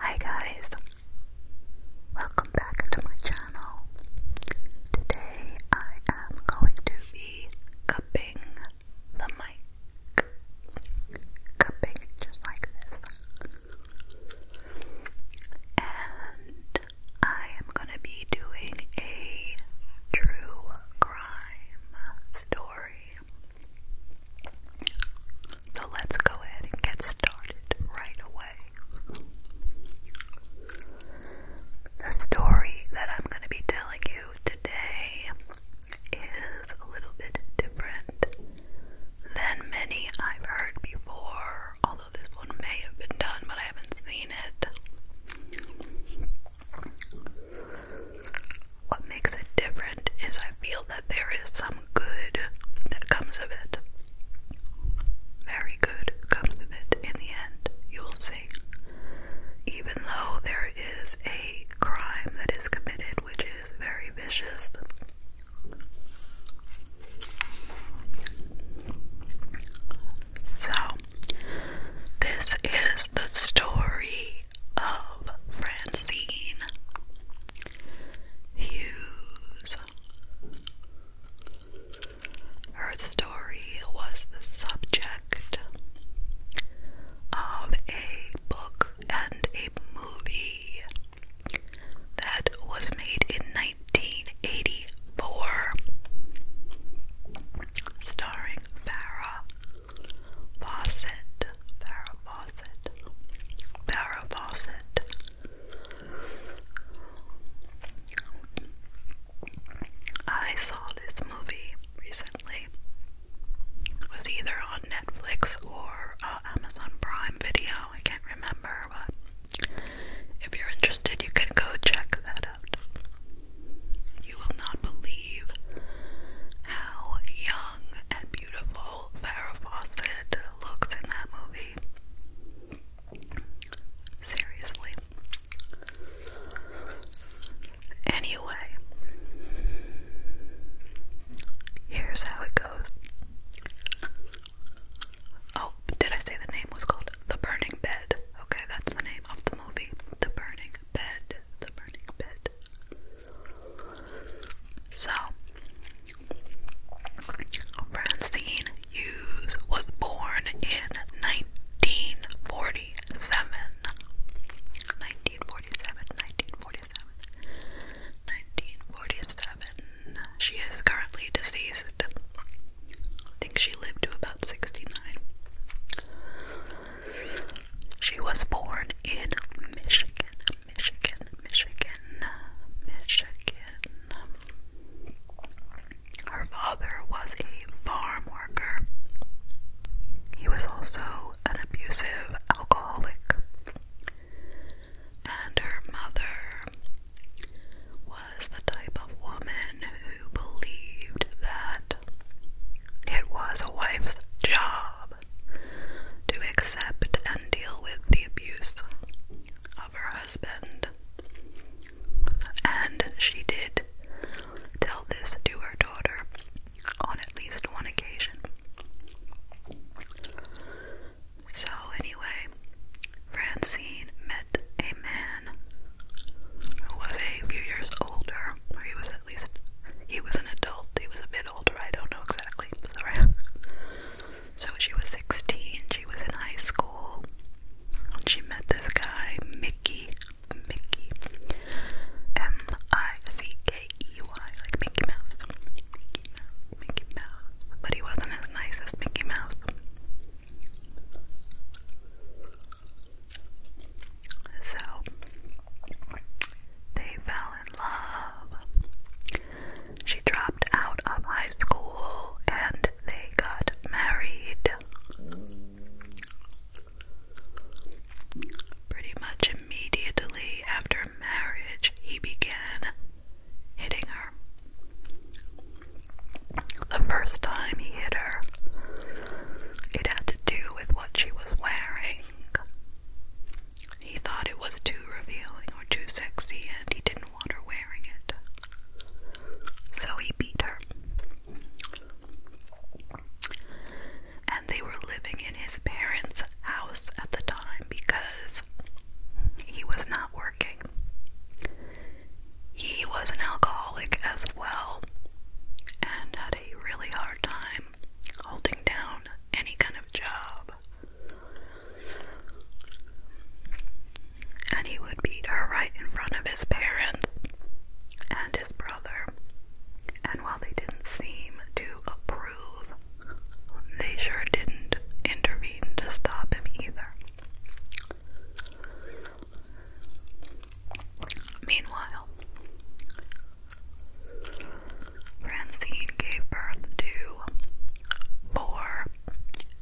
Hi guys, welcome back to my channel. Today I am going to be cupping the mic. Cupping just like this. And I am going to be doing a true crime crime story. So let's go ahead and get started right away. The story that I'm going to be telling you today is a little bit different than many I've heard before, although this one may have been done, but I haven't seen it. What makes it different is I feel that there is some good that comes of it. Very good comes of it in the end, you'll see. Even though there is a crime that is committed, which is very vicious. So, this is the story of Francine Hughes. Her story was the subject of a book and a movie that was made in 1984 starring Farrah Fawcett, Farrah Fawcett, Farrah Fawcett. I saw this movie recently. It was either on Netflix or uh, Amazon Prime Video. I can't remember, but if you're interested, you can go check that out. You will not believe how young and beautiful Farrah Fawcett looks in that movie. Seriously. Anyway, here's how it goes. Oh, did I say the name was called The Burning Bed? Okay, that's the name of the movie. The Burning Bed. The Burning Bed. So, Francine Hughes was born in 1947. 1947, 1947, 1947. She is currently deceased. I think she lived to about 69. She was born in Michigan, Michigan, Michigan, Michigan. Her father was a farm worker. He was also an abusive alcoholic. And her mother was the type of woman who believed that it was a wife's job to accept and deal with the abuse of her husband. And she did tell this to her daughter on at least one occasion. So, anyway, Francine met a man who was a few years older, or he was at least, he was an adult, he was a bit older, I don't know exactly, sorry. So, she was 16, she was in high school, and she met this guy, Mickey, Mickey, M-I-C-K-E-Y, like Mickey Mouse, Mickey Mouse, Mickey Mouse, but he wasn't as nice as Mickey Mouse. So they fell in love. She dropped out of high school and they got married pretty much immediately after marriage he began hitting her. The first time he hit her, it had to do with what she was wearing. He thought it was too revealing or too sexy, and he didn't want her wearing it. So he beat her. And they were living in his parents' house at the time because he was not working. He was an alcoholic as well and had a really hard time holding down any kind of job. And he would beat her right in front of his parents and his brother. And while they didn't seem to approve, they sure didn't intervene to stop him either. Meanwhile, Francine gave birth to four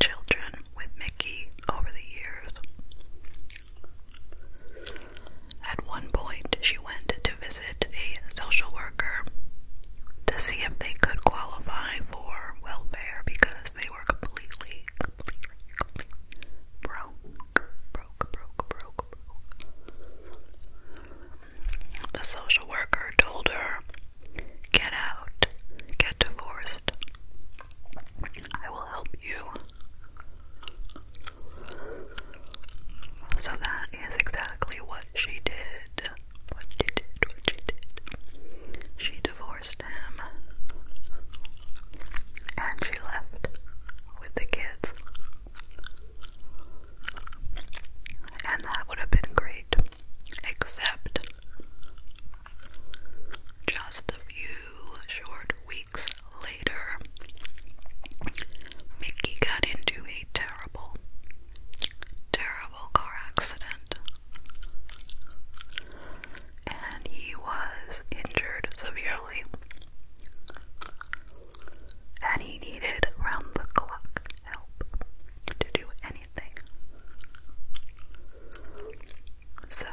children with Mickey over the years. At one point, she went to visit a social worker to see if they could qualify for welfare because they were completely, broke. The social worker told her, "Get out, get divorced. I will help you." So that is exactly what she did what you did, what you did. She divorced him and she left with the kids. And that would have been great, except just a few short weeks later, Mickey got into a terrible, terrible car accident. And he was injured severely. And he needed round the clock help to do anything. So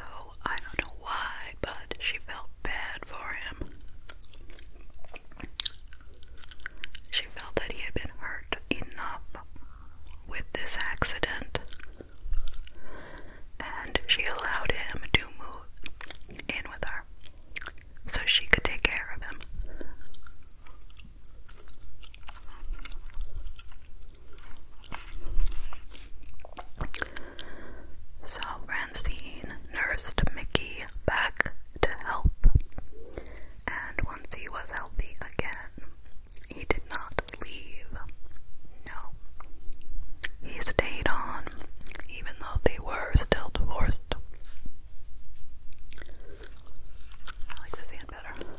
I don't know why, but she felt bad for him. She felt that he had been hurt enough with this accident, and she allowed him to move in with her so she could take care of him. So Francine nursed Mickey back to health and once he was healthy again, he did not leave. No. He stayed on, even though they were still divorced. I like this hand better.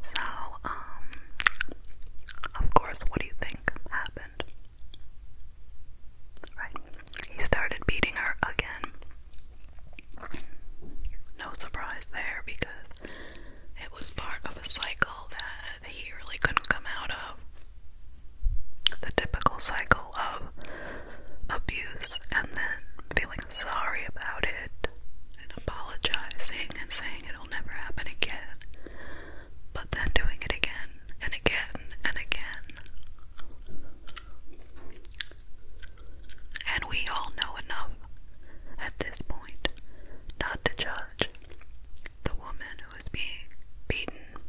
So, um, of course, what do you think happened? Right? he started beating her again. No surprise there because it was part of a cycle that he really couldn't come out of. The typical cycle of abuse and then feeling sorry about it and apologizing and saying it'll never happen again, but then doing it again and again and again and we all know enough at this point not to judge the woman who is being beaten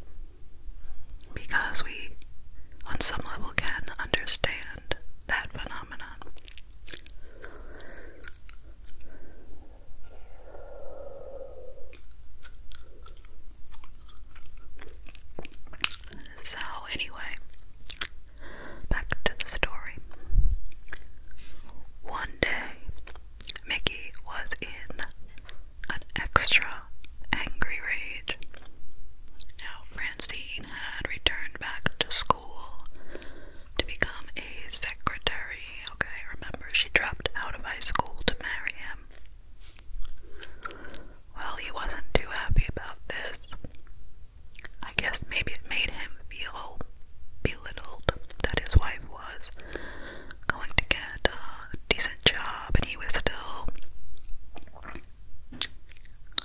because we, on some level, can understand that phenomenon. So, anyway, back to the story. One day, Mickey was in an extra angry rage. Now, Francine had returned back to school to become a secretary. Okay, remember, she dropped out of high school to marry him. Well, he wasn't too happy about this. I guess maybe it made him feel belittled that his wife was going to get a decent job and he was still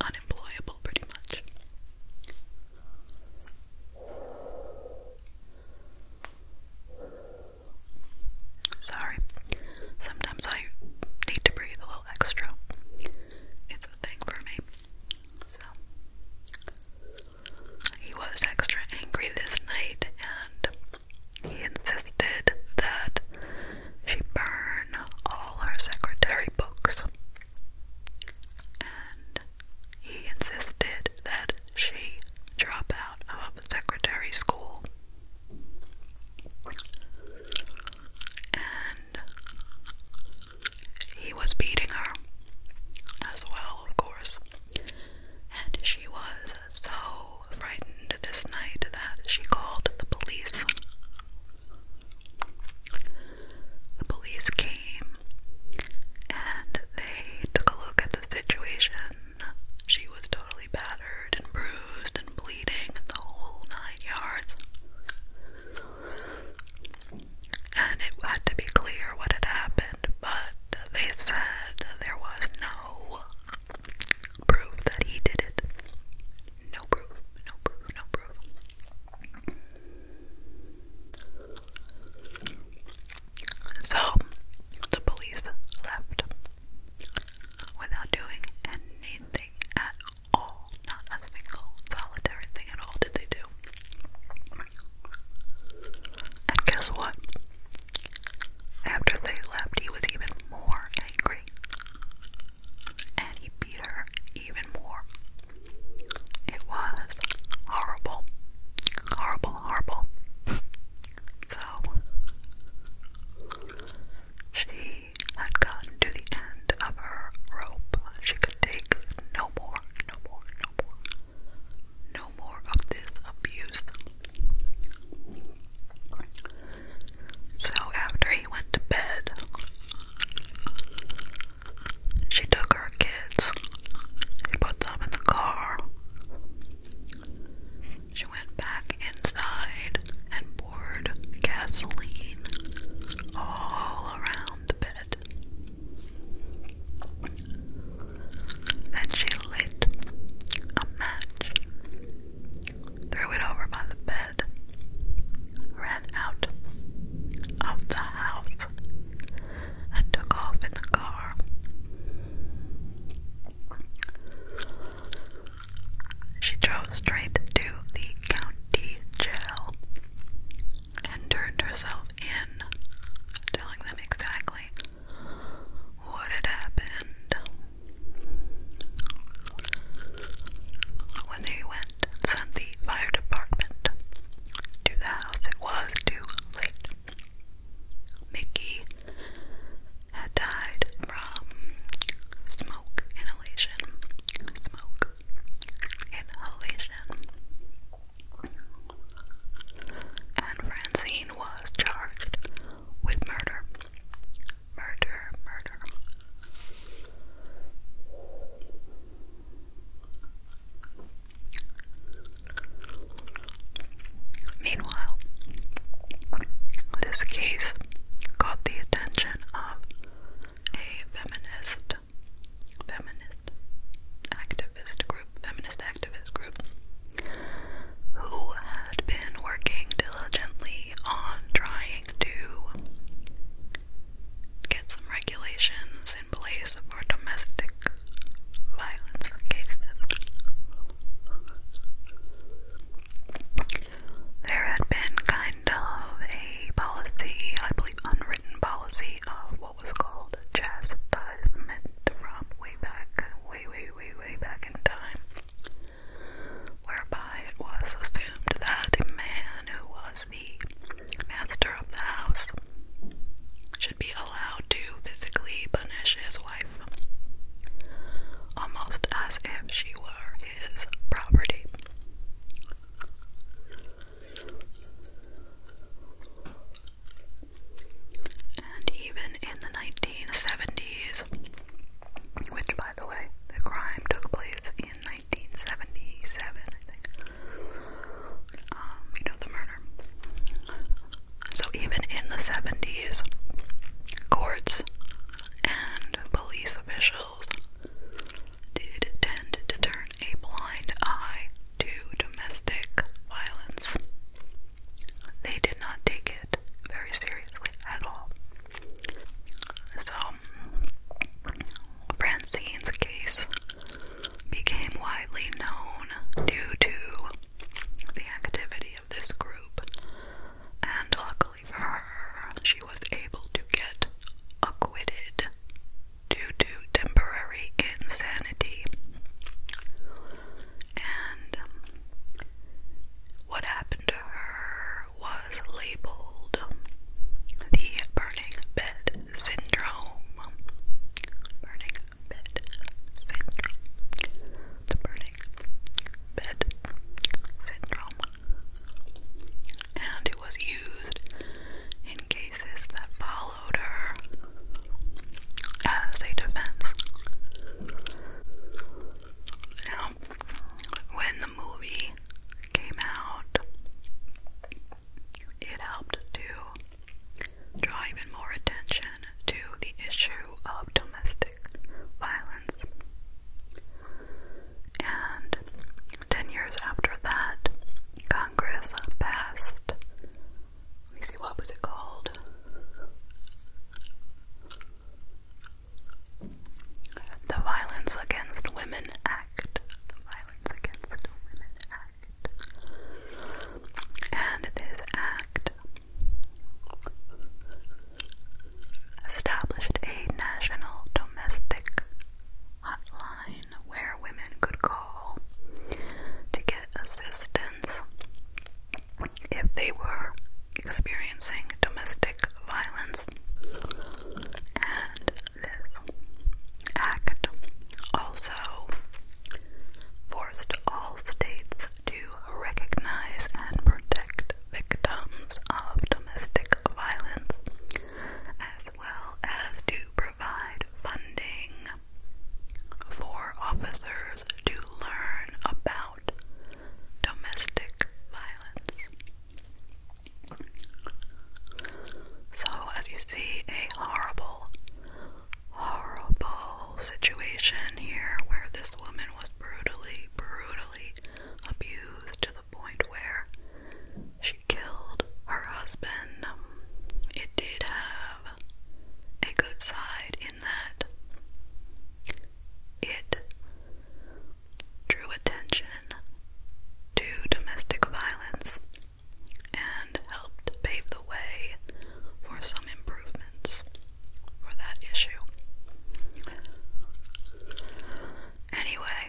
unemployable pretty much. Sorry. Sometimes I need to breathe a little extra. It's a thing for me. So he was extra angry this night and he insisted that she burn all her secretary books. And he insisted that she drop out of secretary school. And he was beating her as well, of course. And she was so frightened this night that she called the police. The police came and they took a look at the situation she was totally battered and bruised and bleeding and the whole nine yards. And it had to be clear what had happened, but they said there was no proof that he did it. No proof, no proof, no proof. So the police left without doing anything at all. Not a single solitary thing at all did they do. And guess what? After they left, he was even more angry. And he beat her even more. It was horrible. Horrible, horrible. So she had gotten to the end of her rope. She could take no more, no more, no more, no more of this abuse. So after he went to bed, she took her kids, she put them in the car, she went back inside and poured gasoline all around the bed. Then she lit a match, threw it over by the bed, ran out of the house, and took off in the car. She drove straight to the county jail and turned herself in, telling them exactly what had happened. When they went and sent the fire department to the house, it was too late. Mickey had died from smoke inhalation. Smoke inhalation. And Francine was charged with murder. Murder, murder. Meanwhile, this case caught the attention of a feminist feminist activist group, feminist activist group who had been working diligently on trying to get some regulations laws in place for domestic violence There had been kind of a policy, I believe unwritten policy, of what was called chastisement from way back, way, way, way, way back in time, whereby it was assumed that a man who was the master of the house should be allowed to physically punish his wife, almost as if she were his property. And even in the 1970s, which by the way, the crime took place in 1977, I think, um, you know, the murder. So even in the 70s, courts and police officials did tend to turn a blind eye to domestic violence. They did not take it very seriously at all. So, Francine's case became widely known due to the activity of this group, and luckily for her, she was able to get acquitted due to temporary insanity. And what happened to her was labeled the burning bed syndrome. Burning bed syndrome. The burning bed syndrome. And it was used in cases that followed her as a defense. Now, when the movie came out, it helped to draw even more attention to the issue of domestic violence. And 10 years after that, Congress passed. Let me see, what was it called? The Violence Against Women Act. Violence Against Women Act. And this act established a national domestic hotline where women could call to get assistance if they were experiencing domestic violence this act also forced all states to recognize and protect victims of domestic violence as well as to provide funding for officers to learn about domestic violence. So, as you see, a horrible, horrible situation here where this woman was brutally, brutally abused to the point where she killed her husband. It did have a good side in that it drew attention to domestic violence and helped pave the way for some improvements for that issue. Anyway,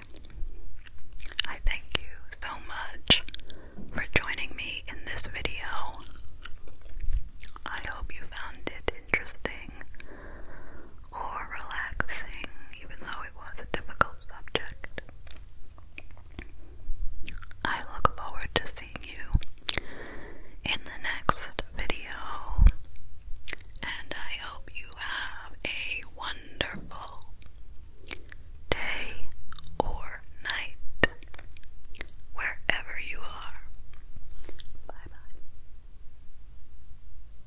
I thank you so much for joining me in this video. I hope you found it interesting or relaxing, even though it was a difficult subject. I look forward to seeing you in the next video, and I hope you have a wonderful day or night wherever you are. Bye bye.